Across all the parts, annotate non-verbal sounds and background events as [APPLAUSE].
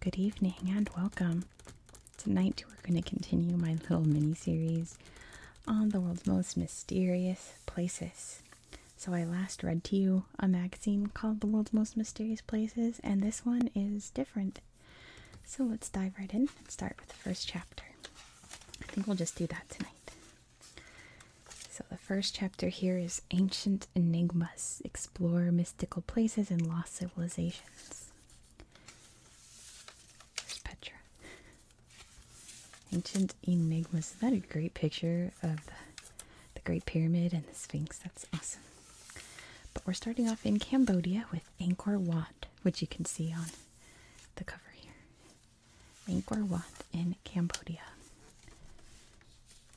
Good evening and welcome. Tonight, we're going to continue my little mini series on the world's most mysterious places. So, I last read to you a magazine called The World's Most Mysterious Places, and this one is different. So let's dive right in and start with the first chapter. I think we'll just do that tonight. So the first chapter here is Ancient Enigmas Explore Mystical Places and Lost Civilizations. Petra. Ancient Enigmas. Is that a great picture of the Great Pyramid and the Sphinx? That's awesome. But we're starting off in Cambodia with Angkor Wat, which you can see on the cover here. Angkor Wat in Cambodia.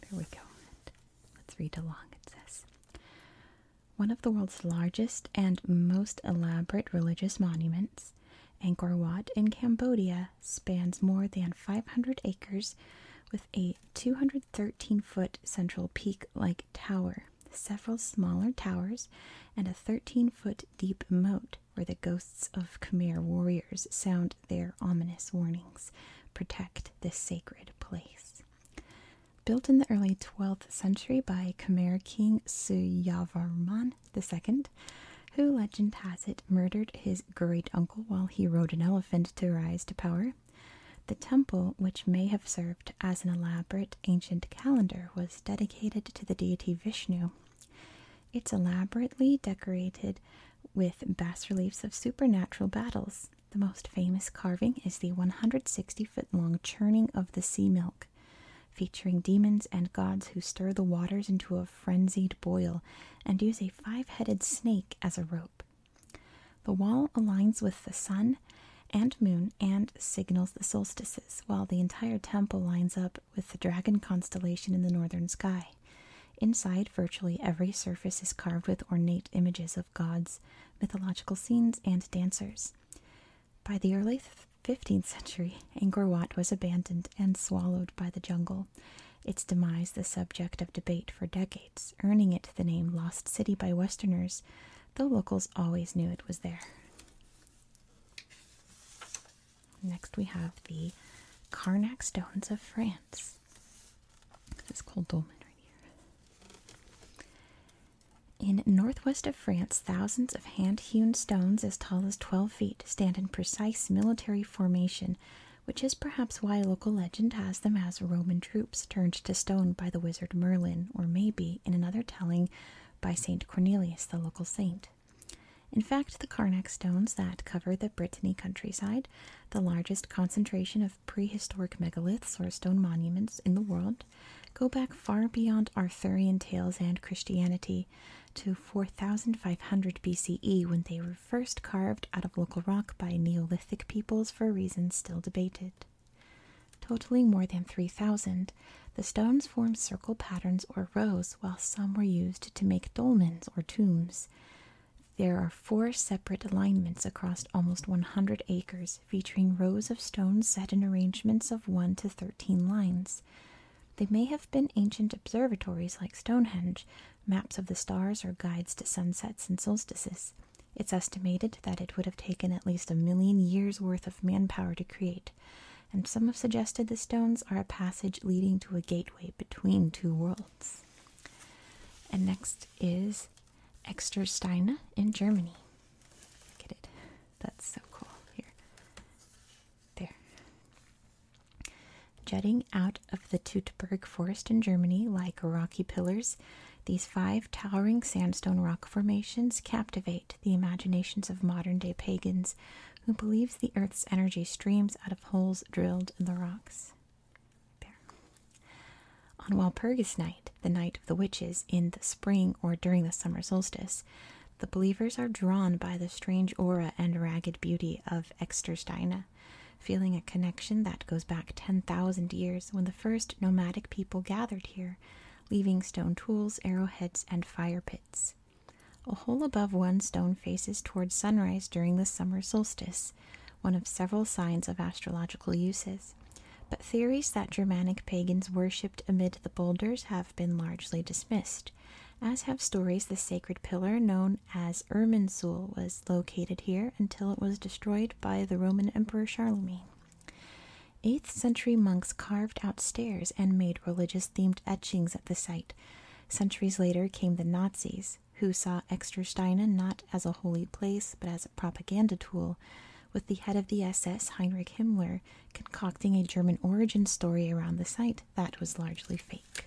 There we go. Let's read along. It says One of the world's largest and most elaborate religious monuments, Angkor Wat in Cambodia spans more than 500 acres with a 213 foot central peak like tower several smaller towers, and a 13 foot deep moat where the ghosts of Khmer warriors sound their ominous warnings protect this sacred place. Built in the early 12th century by Khmer King Suyavarman II, who legend has it murdered his great uncle while he rode an elephant to rise to power, the temple, which may have served as an elaborate ancient calendar was dedicated to the deity Vishnu. It's elaborately decorated with bas reliefs of supernatural battles. The most famous carving is the 160 foot long churning of the sea milk, featuring demons and gods who stir the waters into a frenzied boil and use a five headed snake as a rope. The wall aligns with the sun and moon and signals the solstices, while the entire temple lines up with the dragon constellation in the northern sky. Inside, virtually every surface is carved with ornate images of gods, mythological scenes, and dancers. By the early 15th century, Angkor Wat was abandoned and swallowed by the jungle. Its demise, the subject of debate for decades, earning it the name Lost City by Westerners the locals always knew it was there. Next, we have the Karnak stones of France. This is dolmen right here. In northwest of France, thousands of hand-hewn stones as tall as 12 feet stand in precise military formation, which is perhaps why local legend has them as Roman troops turned to stone by the wizard Merlin, or maybe, in another telling, by St. Cornelius, the local saint. In fact, the Karnak stones that cover the Brittany countryside, the largest concentration of prehistoric megaliths or stone monuments in the world, go back far beyond Arthurian tales and Christianity to 4500 BCE when they were first carved out of local rock by Neolithic peoples for reasons still debated. Totaling more than 3,000, the stones formed circle patterns or rows, while some were used to make dolmens or tombs. There are four separate alignments across almost 100 acres, featuring rows of stones set in arrangements of 1 to 13 lines. They may have been ancient observatories like Stonehenge, maps of the stars, or guides to sunsets and solstices. It's estimated that it would have taken at least a million years' worth of manpower to create, and some have suggested the stones are a passage leading to a gateway between two worlds. And next is Extersteine in Germany. Look it. That's so cool. Here. There. Jutting out of the Teutoburg forest in Germany, like rocky pillars, these five towering sandstone rock formations captivate the imaginations of modern day pagans who believes the earth's energy streams out of holes drilled in the rocks. There. On Walpurgis night, the night of the witches in the spring or during the summer solstice, the believers are drawn by the strange aura and ragged beauty of Extersteina, feeling a connection that goes back 10,000 years when the first nomadic people gathered here, leaving stone tools, arrowheads, and fire pits. A hole above one stone faces toward sunrise during the summer solstice, one of several signs of astrological uses. But theories that Germanic pagans worshipped amid the boulders have been largely dismissed, as have stories that the sacred pillar known as Irminsul was located here until it was destroyed by the Roman Emperor Charlemagne. 8th century monks carved out stairs and made religious themed etchings at the site. Centuries later came the Nazis, who saw Extersteinen not as a holy place but as a propaganda tool, with the head of the SS Heinrich Himmler concocting a German origin story around the site that was largely fake.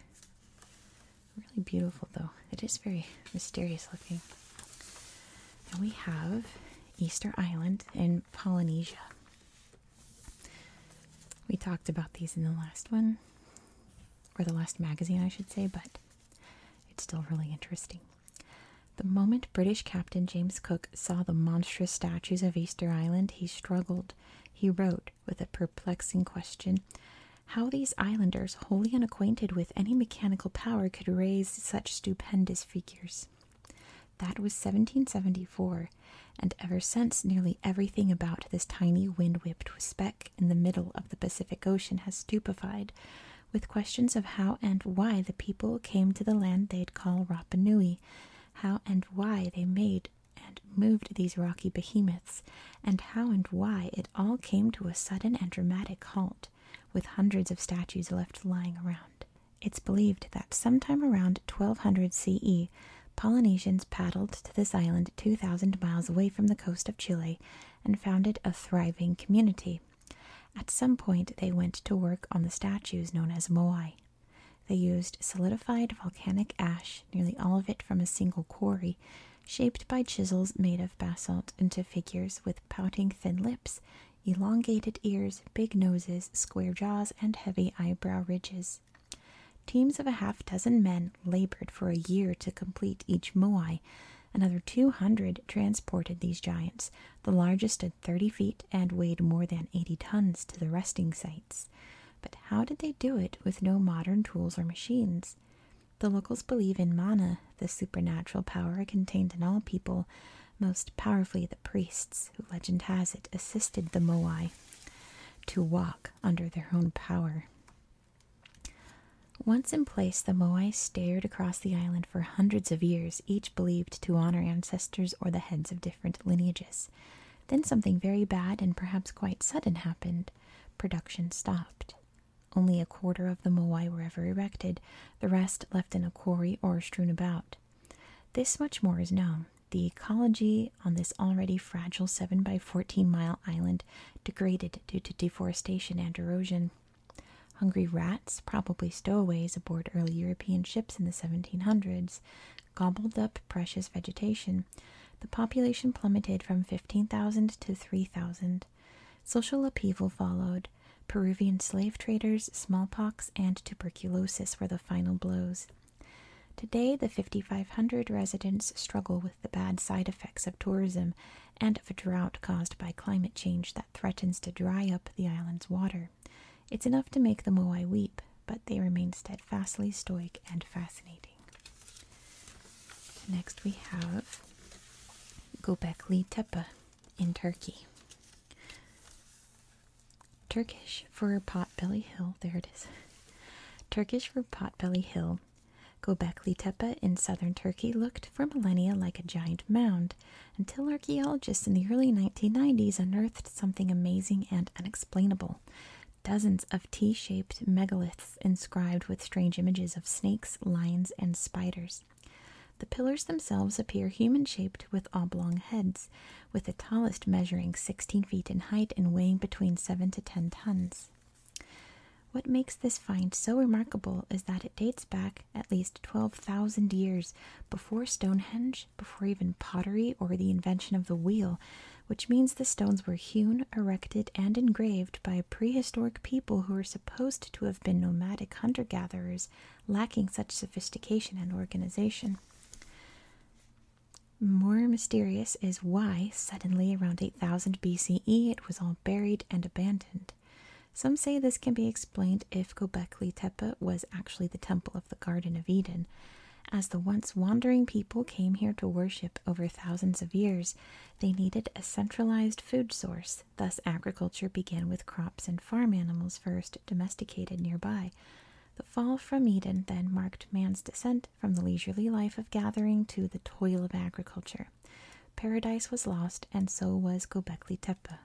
Really beautiful, though. It is very mysterious looking. And we have Easter Island in Polynesia. We talked about these in the last one, or the last magazine, I should say, but it's still really interesting. The moment British Captain James Cook saw the monstrous statues of Easter Island, he struggled, he wrote, with a perplexing question. How these islanders, wholly unacquainted with any mechanical power, could raise such stupendous figures. That was 1774, and ever since, nearly everything about this tiny wind whipped speck in the middle of the Pacific Ocean has stupefied with questions of how and why the people came to the land they'd call Rapa how and why they made and moved these rocky behemoths, and how and why it all came to a sudden and dramatic halt, with hundreds of statues left lying around. It's believed that sometime around 1200 CE, Polynesians paddled to this island 2,000 miles away from the coast of Chile and founded a thriving community. At some point, they went to work on the statues known as moai. They used solidified volcanic ash, nearly all of it from a single quarry, shaped by chisels made of basalt into figures with pouting thin lips elongated ears, big noses, square jaws, and heavy eyebrow ridges. Teams of a half dozen men labored for a year to complete each moai. Another 200 transported these giants. The largest stood 30 feet and weighed more than 80 tons to the resting sites. But how did they do it with no modern tools or machines? The locals believe in mana, the supernatural power contained in all people, most powerfully, the priests, who legend has it, assisted the Moai to walk under their own power. Once in place, the Moai stared across the island for hundreds of years, each believed to honor ancestors or the heads of different lineages. Then something very bad and perhaps quite sudden happened. Production stopped. Only a quarter of the Moai were ever erected, the rest left in a quarry or strewn about. This much more is known. The ecology on this already fragile 7 by 14 mile island degraded due to deforestation and erosion. Hungry rats, probably stowaways aboard early European ships in the 1700s, gobbled up precious vegetation. The population plummeted from 15,000 to 3,000. Social upheaval followed. Peruvian slave traders, smallpox, and tuberculosis were the final blows. Today, the 5,500 residents struggle with the bad side effects of tourism and of a drought caused by climate change that threatens to dry up the island's water. It's enough to make the Moai weep, but they remain steadfastly stoic and fascinating. Next, we have Gobekli Tepe in Turkey. Turkish for Potbelly Hill, there it is. Turkish for Potbelly Hill. Göbekli Tepe in southern Turkey looked for millennia like a giant mound until archaeologists in the early 1990s unearthed something amazing and unexplainable. Dozens of T shaped megaliths inscribed with strange images of snakes, lions, and spiders. The pillars themselves appear human shaped with oblong heads, with the tallest measuring 16 feet in height and weighing between 7 to 10 tons. What makes this find so remarkable is that it dates back at least 12,000 years before Stonehenge, before even pottery or the invention of the wheel, which means the stones were hewn, erected, and engraved by a prehistoric people who are supposed to have been nomadic hunter gatherers lacking such sophistication and organization. More mysterious is why, suddenly around 8000 BCE, it was all buried and abandoned. Some say this can be explained if Gobekli Tepe was actually the temple of the Garden of Eden, as the once wandering people came here to worship over thousands of years, they needed a centralized food source. Thus, agriculture began with crops and farm animals first, domesticated nearby. The fall from Eden then marked man's descent from the leisurely life of gathering to the toil of agriculture. Paradise was lost, and so was Gobekli Tepe.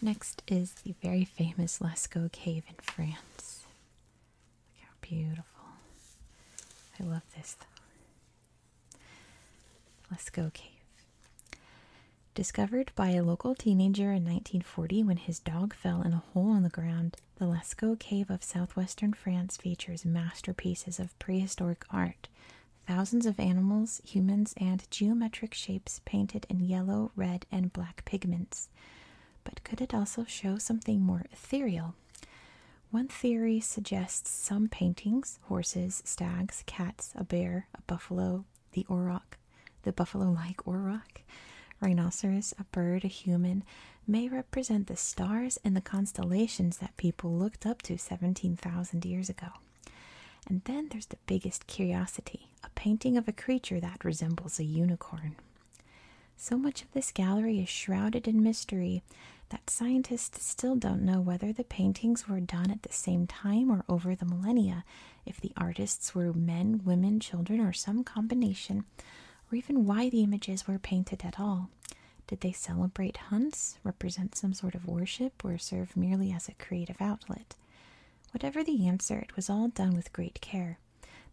Next is the very famous Lascaux Cave in France. Look how beautiful. I love this. Lascaux Cave. Discovered by a local teenager in 1940 when his dog fell in a hole in the ground, the Lascaux Cave of southwestern France features masterpieces of prehistoric art. Thousands of animals, humans, and geometric shapes painted in yellow, red, and black pigments. But could it also show something more ethereal? One theory suggests some paintings horses, stags, cats, a bear, a buffalo, the auroch, the buffalo like auroch, rhinoceros, a bird, a human, may represent the stars and the constellations that people looked up to 17,000 years ago. And then there's the biggest curiosity a painting of a creature that resembles a unicorn. So much of this gallery is shrouded in mystery that scientists still don't know whether the paintings were done at the same time or over the millennia, if the artists were men, women, children, or some combination, or even why the images were painted at all. Did they celebrate hunts, represent some sort of worship, or serve merely as a creative outlet? Whatever the answer, it was all done with great care.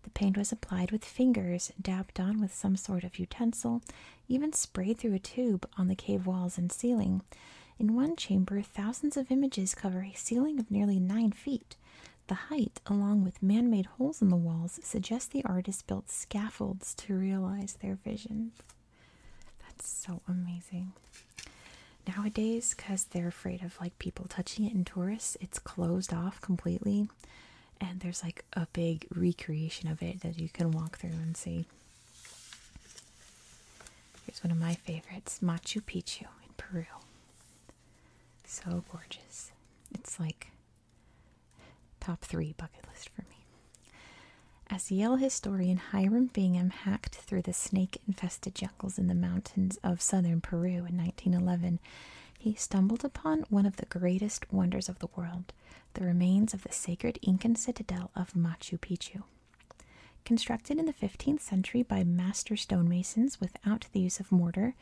The paint was applied with fingers, dabbed on with some sort of utensil, even sprayed through a tube on the cave walls and ceiling, in one chamber, thousands of images cover a ceiling of nearly nine feet. The height, along with man made holes in the walls, suggests the artist built scaffolds to realize their vision. That's so amazing. Nowadays, because they're afraid of like people touching it and tourists, it's closed off completely. And there's like a big recreation of it that you can walk through and see. Here's one of my favorites Machu Picchu in Peru. So gorgeous. It's like top three bucket list for me. As Yale historian Hiram Bingham hacked through the snake infested jungles in the mountains of southern Peru in 1911, he stumbled upon one of the greatest wonders of the world the remains of the sacred Incan citadel of Machu Picchu. Constructed in the 15th century by master stonemasons without the use of mortar,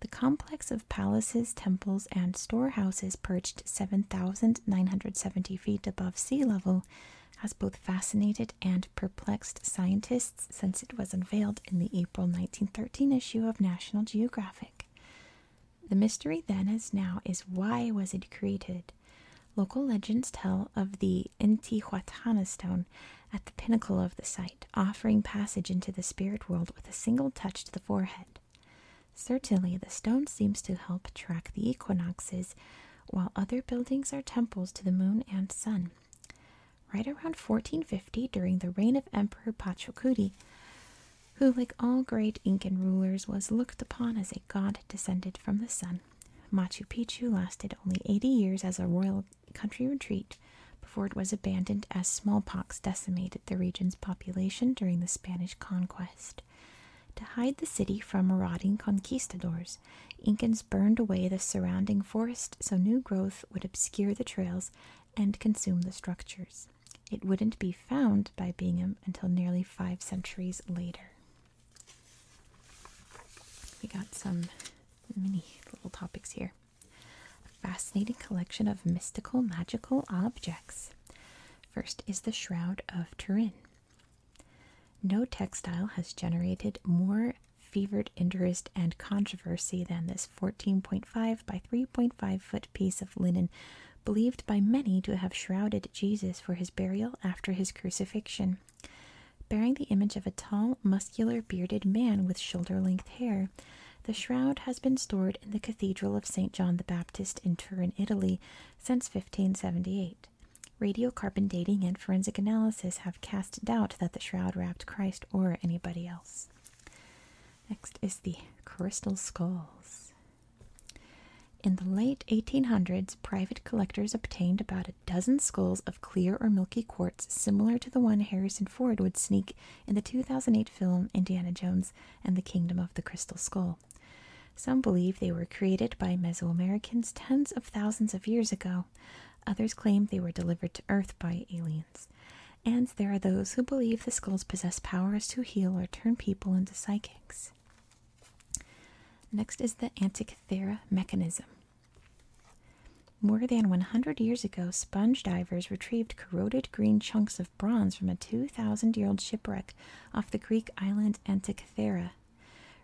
the complex of palaces, temples, and storehouses perched 7,970 feet above sea level has both fascinated and perplexed scientists since it was unveiled in the April 1913 issue of National Geographic. The mystery then as now is why was it created? Local legends tell of the Intihuatana stone at the pinnacle of the site, offering passage into the spirit world with a single touch to the forehead. Certainly, the stone seems to help track the equinoxes, while other buildings are temples to the moon and sun. Right around 1450, during the reign of Emperor Pachacuti, who, like all great Incan rulers, was looked upon as a god descended from the sun, Machu Picchu lasted only 80 years as a royal country retreat before it was abandoned as smallpox decimated the region's population during the Spanish conquest. To hide the city from marauding conquistadors, Incans burned away the surrounding forest so new growth would obscure the trails and consume the structures. It wouldn't be found by Bingham until nearly five centuries later. We got some mini little topics here. A fascinating collection of mystical magical objects. First is the Shroud of Turin. No textile has generated more fevered interest and controversy than this 14.5 by 3.5 foot piece of linen, believed by many to have shrouded Jesus for his burial after his crucifixion. Bearing the image of a tall, muscular, bearded man with shoulder length hair, the shroud has been stored in the Cathedral of St. John the Baptist in Turin, Italy, since 1578. Radiocarbon dating and forensic analysis have cast doubt that the shroud wrapped Christ or anybody else. Next is the crystal skulls. In the late 1800s, private collectors obtained about a dozen skulls of clear or milky quartz, similar to the one Harrison Ford would sneak in the 2008 film Indiana Jones and the Kingdom of the Crystal Skull. Some believe they were created by Mesoamericans tens of thousands of years ago. Others claim they were delivered to Earth by aliens. And there are those who believe the skulls possess powers to heal or turn people into psychics. Next is the Antikythera mechanism. More than 100 years ago, sponge divers retrieved corroded green chunks of bronze from a 2,000 year old shipwreck off the Greek island Antikythera.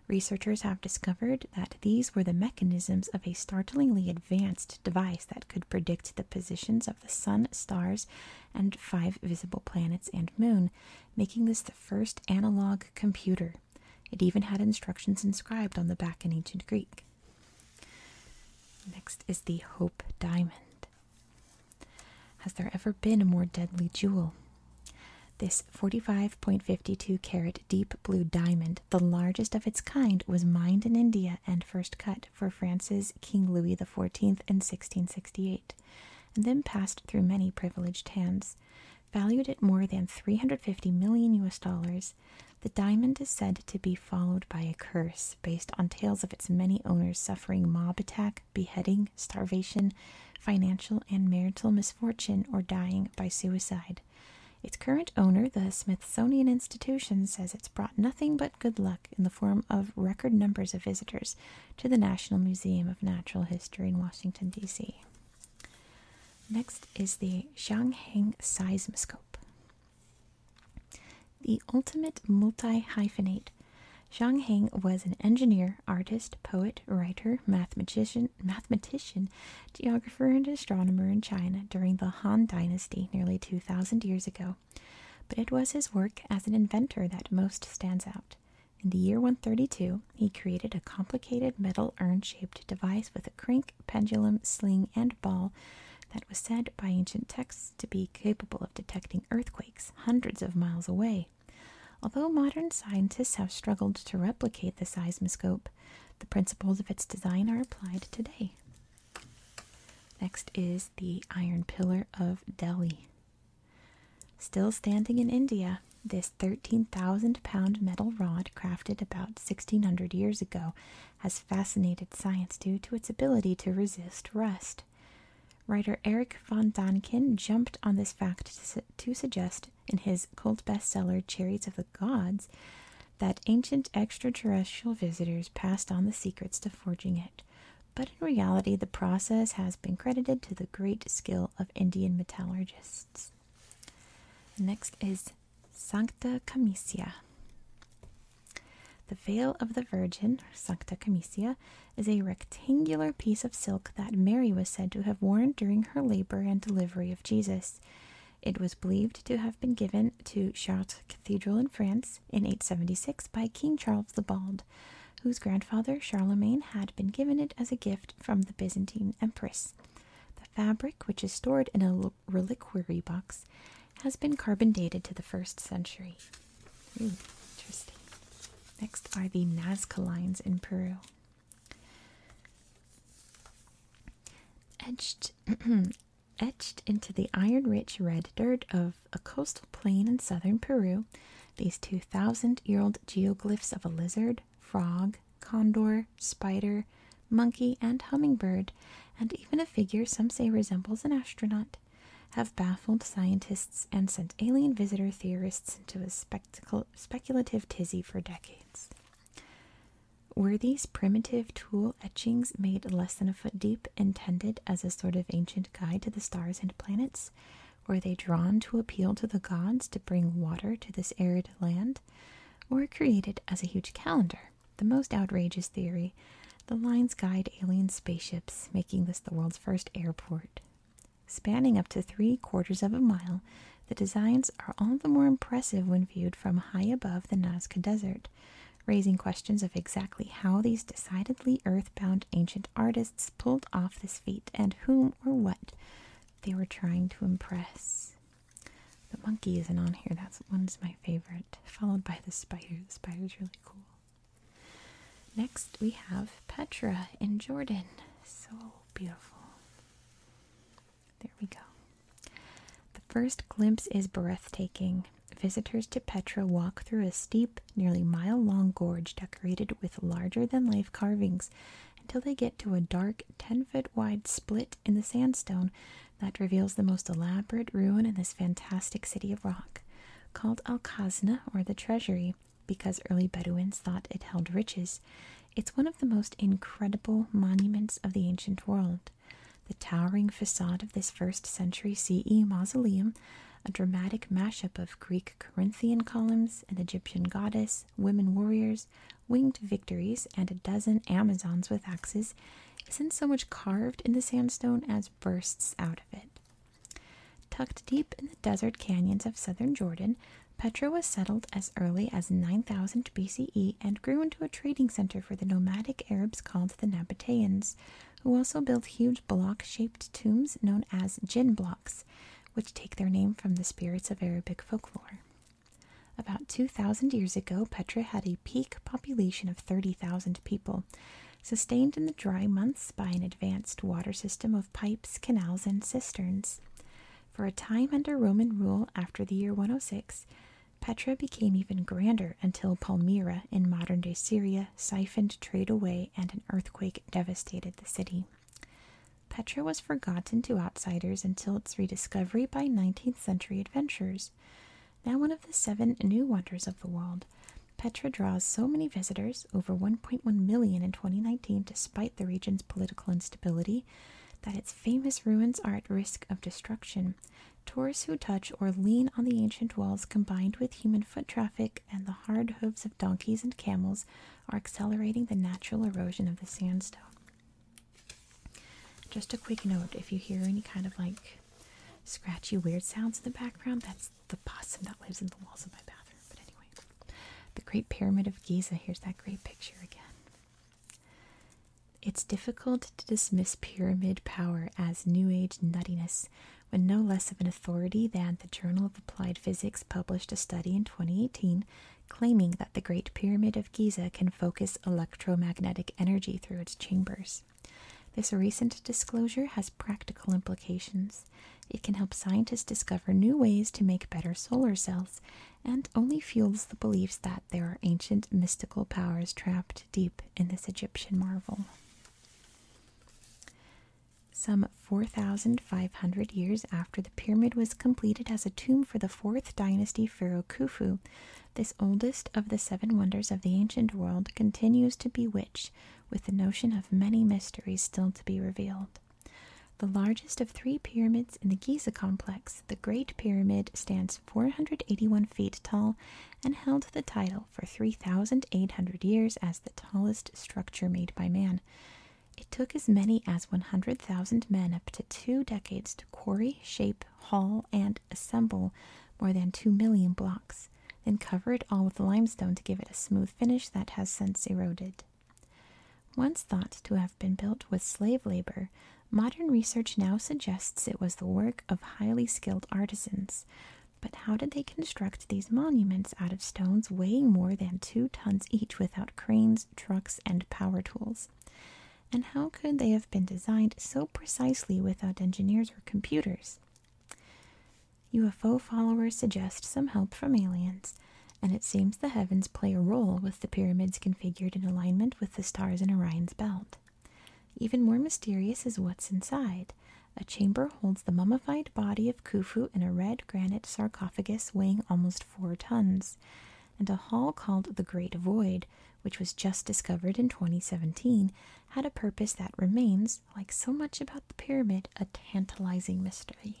Researchers have discovered that these were the mechanisms of a startlingly advanced device that could predict the positions of the sun, stars, and five visible planets and moon, making this the first analog computer. It even had instructions inscribed on the back in ancient Greek. Next is the Hope Diamond. Has there ever been a more deadly jewel? This 45.52 carat deep blue diamond, the largest of its kind, was mined in India and first cut for France's King Louis XIV in 1668, and then passed through many privileged hands. Valued at more than 350 million US dollars, the diamond is said to be followed by a curse based on tales of its many owners suffering mob attack, beheading, starvation, financial and marital misfortune, or dying by suicide. Its current owner, the Smithsonian Institution, says it's brought nothing but good luck in the form of record numbers of visitors to the National Museum of Natural History in Washington, D.C. Next is the Zhangheng Seismoscope. The ultimate multi hyphenate. Zhangheng was an engineer, artist, poet, writer, mathematician, mathematician, geographer, and astronomer in China during the Han Dynasty nearly 2,000 years ago. But it was his work as an inventor that most stands out. In the year 132, he created a complicated metal urn shaped device with a crank, pendulum, sling, and ball that was said by ancient texts to be capable of detecting earthquakes hundreds of miles away. Although modern scientists have struggled to replicate the seismoscope, the principles of its design are applied today. Next is the Iron Pillar of Delhi. Still standing in India, this 13,000 pound metal rod, crafted about 1600 years ago, has fascinated science due to its ability to resist rust. Writer Eric von Donkin jumped on this fact to, to suggest in his cult bestseller Chariots of the Gods that ancient extraterrestrial visitors passed on the secrets to forging it. But in reality, the process has been credited to the great skill of Indian metallurgists. The next is Sancta Camicia. The veil of the Virgin, Sancta Camicia, is a rectangular piece of silk that Mary was said to have worn during her labor and delivery of Jesus. It was believed to have been given to Chartres Cathedral in France in 876 by King Charles the Bald, whose grandfather Charlemagne had been given it as a gift from the Byzantine Empress. The fabric, which is stored in a reliquary box, has been carbon dated to the first century. interesting. Next are the Nazca lines in Peru. Etched, [CLEARS THROAT] etched into the iron-rich red dirt of a coastal plain in southern Peru, these 2,000-year-old geoglyphs of a lizard frog, condor, spider, monkey, and hummingbird, and even a figure some say resembles an astronaut, have baffled scientists and sent alien visitor theorists into a speculative tizzy for decades. Were these primitive tool etchings made less than a foot deep intended as a sort of ancient guide to the stars and planets? Were they drawn to appeal to the gods to bring water to this arid land? or created as a huge calendar. The most outrageous theory the lines guide alien spaceships, making this the world's first airport. Spanning up to three quarters of a mile, the designs are all the more impressive when viewed from high above the Nazca Desert, raising questions of exactly how these decidedly earthbound ancient artists pulled off this feat and whom or what they were trying to impress. The monkey isn't on here. That's one's my favorite. Followed by the spider. The spider's really cool. Next, we have Petra in Jordan. So beautiful. There we go. The first glimpse is breathtaking. Visitors to Petra walk through a steep, nearly mile long gorge decorated with larger than life carvings until they get to a dark 10 foot wide split in the sandstone that reveals the most elaborate ruin in this fantastic city of rock, called Al Khazna or the Treasury because early Bedouins thought it held riches. It's one of the most incredible monuments of the ancient world. The towering facade of this first century CE mausoleum, a dramatic mashup of Greek Corinthian columns, an Egyptian goddess, women warriors, winged victories, and a dozen Amazons with axes, isn't so much carved in the sandstone as bursts out of it. Tucked deep in the desert canyons of southern Jordan, Petra was settled as early as 9000 BCE and grew into a trading center for the nomadic Arabs called the Nabateans, who also built huge block shaped tombs known as jinn blocks, which take their name from the spirits of Arabic folklore. About 2,000 years ago, Petra had a peak population of 30,000 people, sustained in the dry months by an advanced water system of pipes, canals, and cisterns. For a time under Roman rule after the year 106, Petra became even grander until Palmyra in modern day Syria siphoned trade away and an earthquake devastated the city. Petra was forgotten to outsiders until its rediscovery by 19th century adventurers. Now one of the seven new wonders of the world, Petra draws so many visitors, over 1.1 million in 2019, despite the region's political instability, that its famous ruins are at risk of destruction. Tourists who touch or lean on the ancient walls, combined with human foot traffic and the hard hooves of donkeys and camels, are accelerating the natural erosion of the sandstone. Just a quick note if you hear any kind of like scratchy, weird sounds in the background, that's the possum that lives in the walls of my bathroom. But anyway, the Great Pyramid of Giza, here's that great picture again. It's difficult to dismiss pyramid power as New Age nuttiness when no less of an authority than the Journal of Applied Physics published a study in 2018 claiming that the Great Pyramid of Giza can focus electromagnetic energy through its chambers. This recent disclosure has practical implications. It can help scientists discover new ways to make better solar cells and only fuels the beliefs that there are ancient mystical powers trapped deep in this Egyptian marvel. Some 4,000 Five hundred years after the pyramid was completed as a tomb for the 4th dynasty pharaoh Khufu, this oldest of the seven wonders of the ancient world continues to bewitch with the notion of many mysteries still to be revealed. The largest of three pyramids in the Giza complex, the Great Pyramid, stands 481 feet tall and held the title for 3,800 years as the tallest structure made by man. It took as many as 100,000 men up to two decades to quarry, shape, haul, and assemble more than 2 million blocks, then cover it all with limestone to give it a smooth finish that has since eroded. Once thought to have been built with slave labor, modern research now suggests it was the work of highly skilled artisans. But how did they construct these monuments out of stones weighing more than two tons each without cranes, trucks, and power tools? And how could they have been designed so precisely without engineers or computers? UFO followers suggest some help from aliens, and it seems the heavens play a role with the pyramids configured in alignment with the stars in Orion's belt. Even more mysterious is what's inside. A chamber holds the mummified body of Khufu in a red granite sarcophagus weighing almost four tons and a hall called the Great Void, which was just discovered in 2017, had a purpose that remains, like so much about the pyramid, a tantalizing mystery.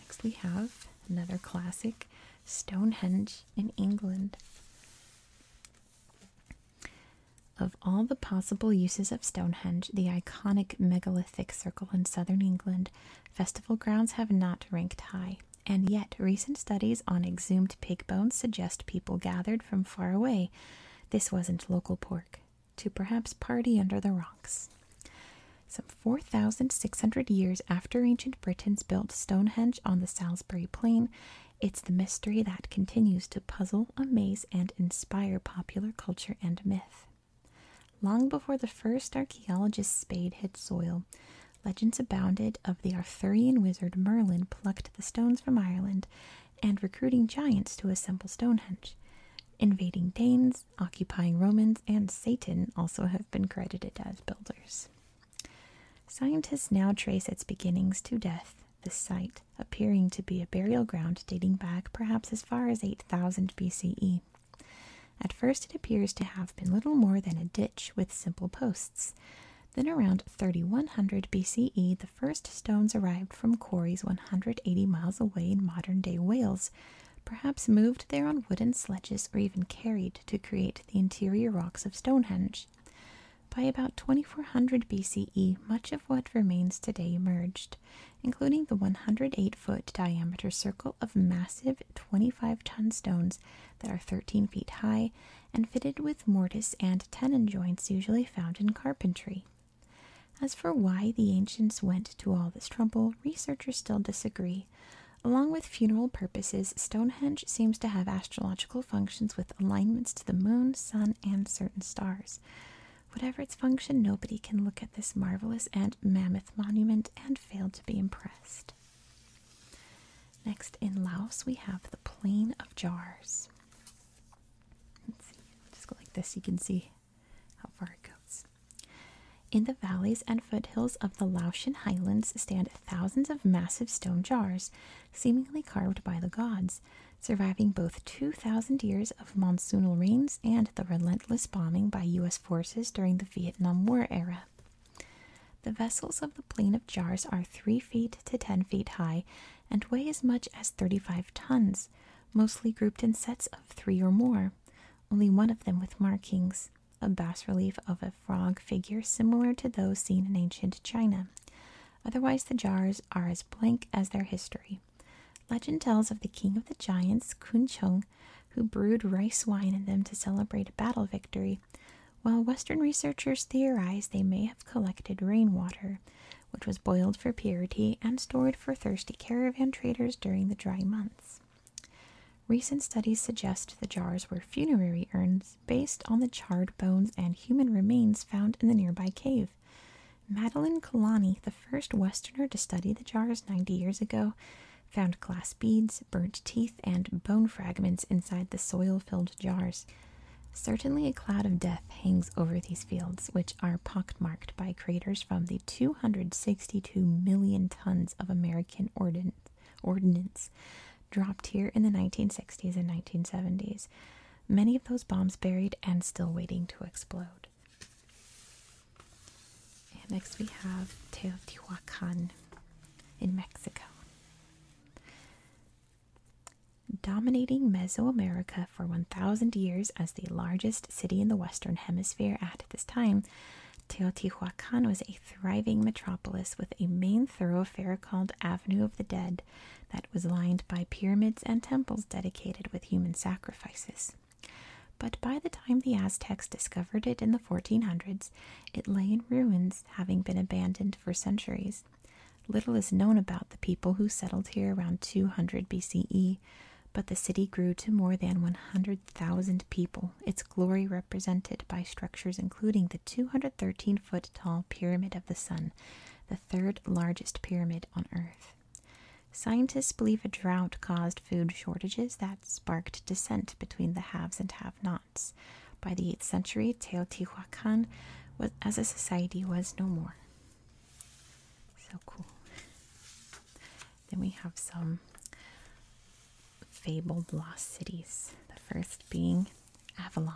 Next, we have another classic Stonehenge in England of all the possible uses of Stonehenge, the iconic megalithic circle in southern England, festival grounds have not ranked high. And yet, recent studies on exhumed pig bones suggest people gathered from far away. This wasn't local pork, to perhaps party under the rocks. Some 4,600 years after ancient Britons built Stonehenge on the Salisbury Plain, it's the mystery that continues to puzzle, amaze, and inspire popular culture and myth. Long before the first archaeologist's spade hit soil, legends abounded of the Arthurian wizard Merlin plucked the stones from Ireland and recruiting giants to assemble Stonehenge. Invading Danes, occupying Romans, and Satan also have been credited as builders. Scientists now trace its beginnings to death, the site, appearing to be a burial ground dating back perhaps as far as 8000 BCE. At first, it appears to have been little more than a ditch with simple posts. Then, around 3100 BCE, the first stones arrived from quarries 180 miles away in modern day Wales, perhaps moved there on wooden sledges or even carried to create the interior rocks of Stonehenge. By about 2400 BCE, much of what remains today emerged including the 108 foot diameter circle of massive 25 ton stones that are 13 feet high and fitted with mortise and tenon joints usually found in carpentry. As for why the ancients went to all this trouble, researchers still disagree. Along with funeral purposes, Stonehenge seems to have astrological functions with alignments to the moon, sun, and certain stars. Whatever its function, nobody can look at this marvelous and mammoth monument and fail to be impressed. Next, in Laos, we have the Plain of Jars. Let's see, just go like this, you can see how far it goes. In the valleys and foothills of the Laotian highlands stand thousands of massive stone jars, seemingly carved by the gods, surviving both 2,000 years of monsoonal rains and the relentless bombing by U.S. forces during the Vietnam War era. The vessels of the Plain of Jars are 3 feet to 10 feet high and weigh as much as 35 tons, mostly grouped in sets of three or more, only one of them with markings, a bas relief of a frog figure similar to those seen in ancient China. Otherwise, the jars are as blank as their history. Legend tells of the king of the giants, Kun Kunchung, who brewed rice wine in them to celebrate a battle victory, while Western researchers theorize they may have collected rainwater, which was boiled for purity and stored for thirsty caravan traders during the dry months. Recent studies suggest the jars were funerary urns based on the charred bones and human remains found in the nearby cave. Madeline Kalani, the first Westerner to study the jars 90 years ago, found glass beads, burnt teeth, and bone fragments inside the soil filled jars. Certainly, a cloud of death hangs over these fields, which are pockmarked by craters from the 262 million tons of American ordnance dropped here in the 1960s and 1970s. Many of those bombs buried and still waiting to explode. And next we have Teotihuacan in Mexico. Dominating Mesoamerica for 1,000 years as the largest city in the Western Hemisphere at this time, Teotihuacan was a thriving metropolis with a main thoroughfare called Avenue of the Dead that was lined by pyramids and temples dedicated with human sacrifices. But by the time the Aztecs discovered it in the 1400s, it lay in ruins, having been abandoned for centuries. Little is known about the people who settled here around 200 BCE, but the city grew to more than 100,000 people, its glory represented by structures including the 213 foot tall Pyramid of the Sun, the third largest pyramid on Earth. Scientists believe a drought caused food shortages that sparked dissent between the haves and have-nots. By the 8th century, Teotihuacan as a society was no more. So cool. Then we have some fabled lost cities, the first being Avalon.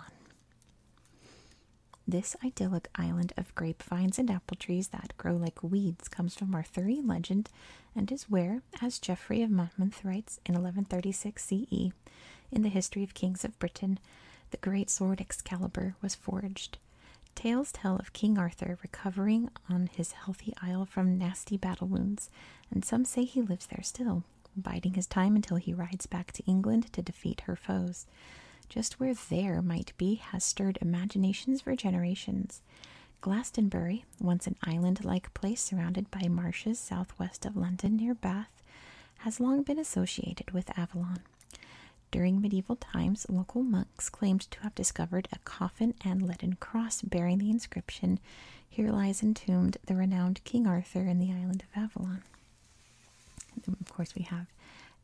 This idyllic island of grapevines and apple trees that grow like weeds comes from Arthurian legend and is where, as Geoffrey of Monmouth writes in 1136 CE, in the history of kings of Britain, the great sword Excalibur was forged. Tales tell of King Arthur recovering on his healthy isle from nasty battle wounds, and some say he lives there still, biding his time until he rides back to England to defeat her foes. Just where there might be has stirred imaginations for generations. Glastonbury, once an island like place surrounded by marshes southwest of London near Bath, has long been associated with Avalon. During medieval times, local monks claimed to have discovered a coffin and leaden cross bearing the inscription, Here lies entombed the renowned King Arthur in the island of Avalon. of course, we have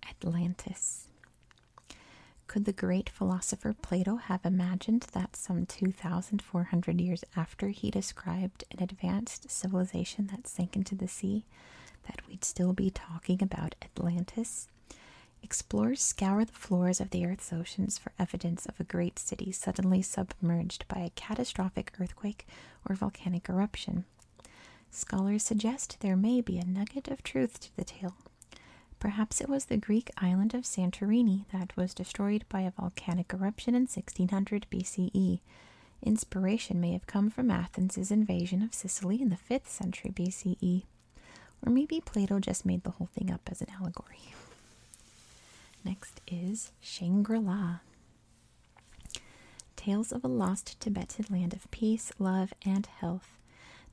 Atlantis. Could the great philosopher Plato have imagined that some 2,400 years after he described an advanced civilization that sank into the sea, that we'd still be talking about Atlantis? Explorers scour the floors of the Earth's oceans for evidence of a great city suddenly submerged by a catastrophic earthquake or volcanic eruption. Scholars suggest there may be a nugget of truth to the tale Perhaps it was the Greek island of Santorini that was destroyed by a volcanic eruption in 1600 BCE. Inspiration may have come from Athens' invasion of Sicily in the 5th century BCE. Or maybe Plato just made the whole thing up as an allegory. Next is Shangri La. Tales of a lost Tibetan land of peace, love, and health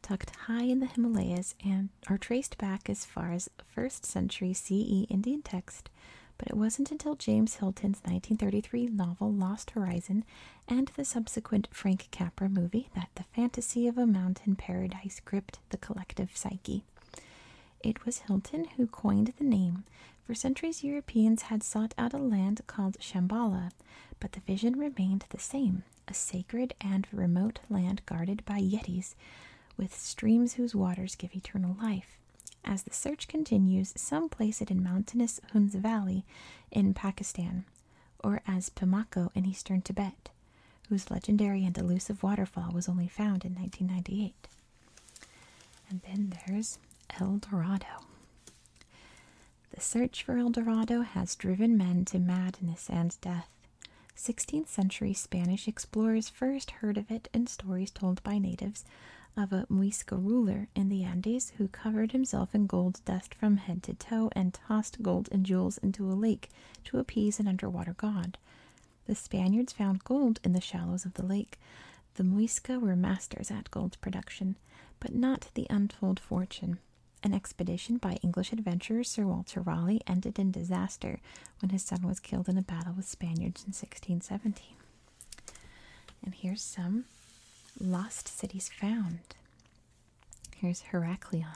tucked high in the Himalayas and are traced back as far as 1st century CE Indian text, but it wasn't until James Hilton's 1933 novel Lost Horizon and the subsequent Frank Capra movie that the fantasy of a mountain paradise gripped the collective psyche. It was Hilton who coined the name. For centuries, Europeans had sought out a land called Shambhala, but the vision remained the same a sacred and remote land guarded by yetis with streams whose waters give eternal life. As the search continues, some place it in mountainous Hunz Valley in Pakistan, or as Pamako in eastern Tibet, whose legendary and elusive waterfall was only found in 1998. And then there's El Dorado. The search for El Dorado has driven men to madness and death. 16th century Spanish explorers first heard of it in stories told by natives of a Muisca ruler in the Andes who covered himself in gold dust from head to toe and tossed gold and jewels into a lake to appease an underwater god. The Spaniards found gold in the shallows of the lake. The Muisca were masters at gold production, but not the untold fortune an expedition by English adventurer Sir Walter Raleigh ended in disaster when his son was killed in a battle with Spaniards in 1617. And here's some lost cities found. Here's Heraklion.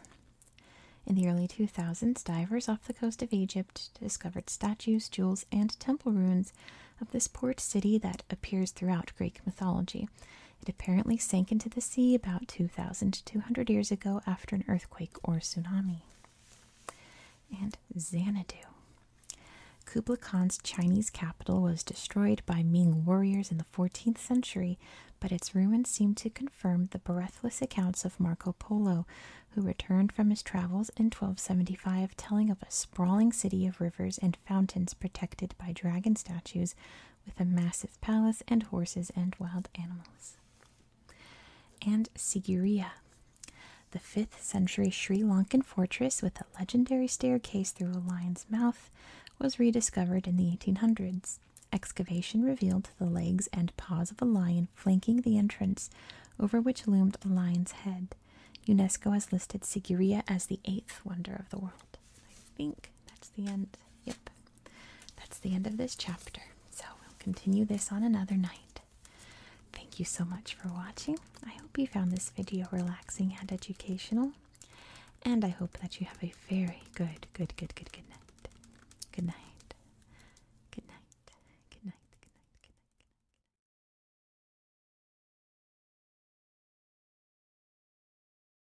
In the early 2000s, divers off the coast of Egypt discovered statues, jewels, and temple ruins of this port city that appears throughout Greek mythology. It apparently sank into the sea about 2,200 years ago after an earthquake or tsunami. And Xanadu. Kublai Khan's Chinese capital was destroyed by Ming warriors in the 14th century, but its ruins seem to confirm the breathless accounts of Marco Polo, who returned from his travels in 1275 telling of a sprawling city of rivers and fountains protected by dragon statues with a massive palace and horses and wild animals. And Sigiriya, the 5th century Sri Lankan fortress with a legendary staircase through a lion's mouth, was rediscovered in the 1800s. Excavation revealed the legs and paws of a lion flanking the entrance, over which loomed a lion's head. UNESCO has listed Sigiriya as the eighth wonder of the world. I think that's the end. Yep that's the end of this chapter. So we'll continue this on another night. Thank you so much for watching. I hope you found this video relaxing and educational. And I hope that you have a very good, good, good, good, good night. Good night. Good night. Good night. Good night. Good night. Good night.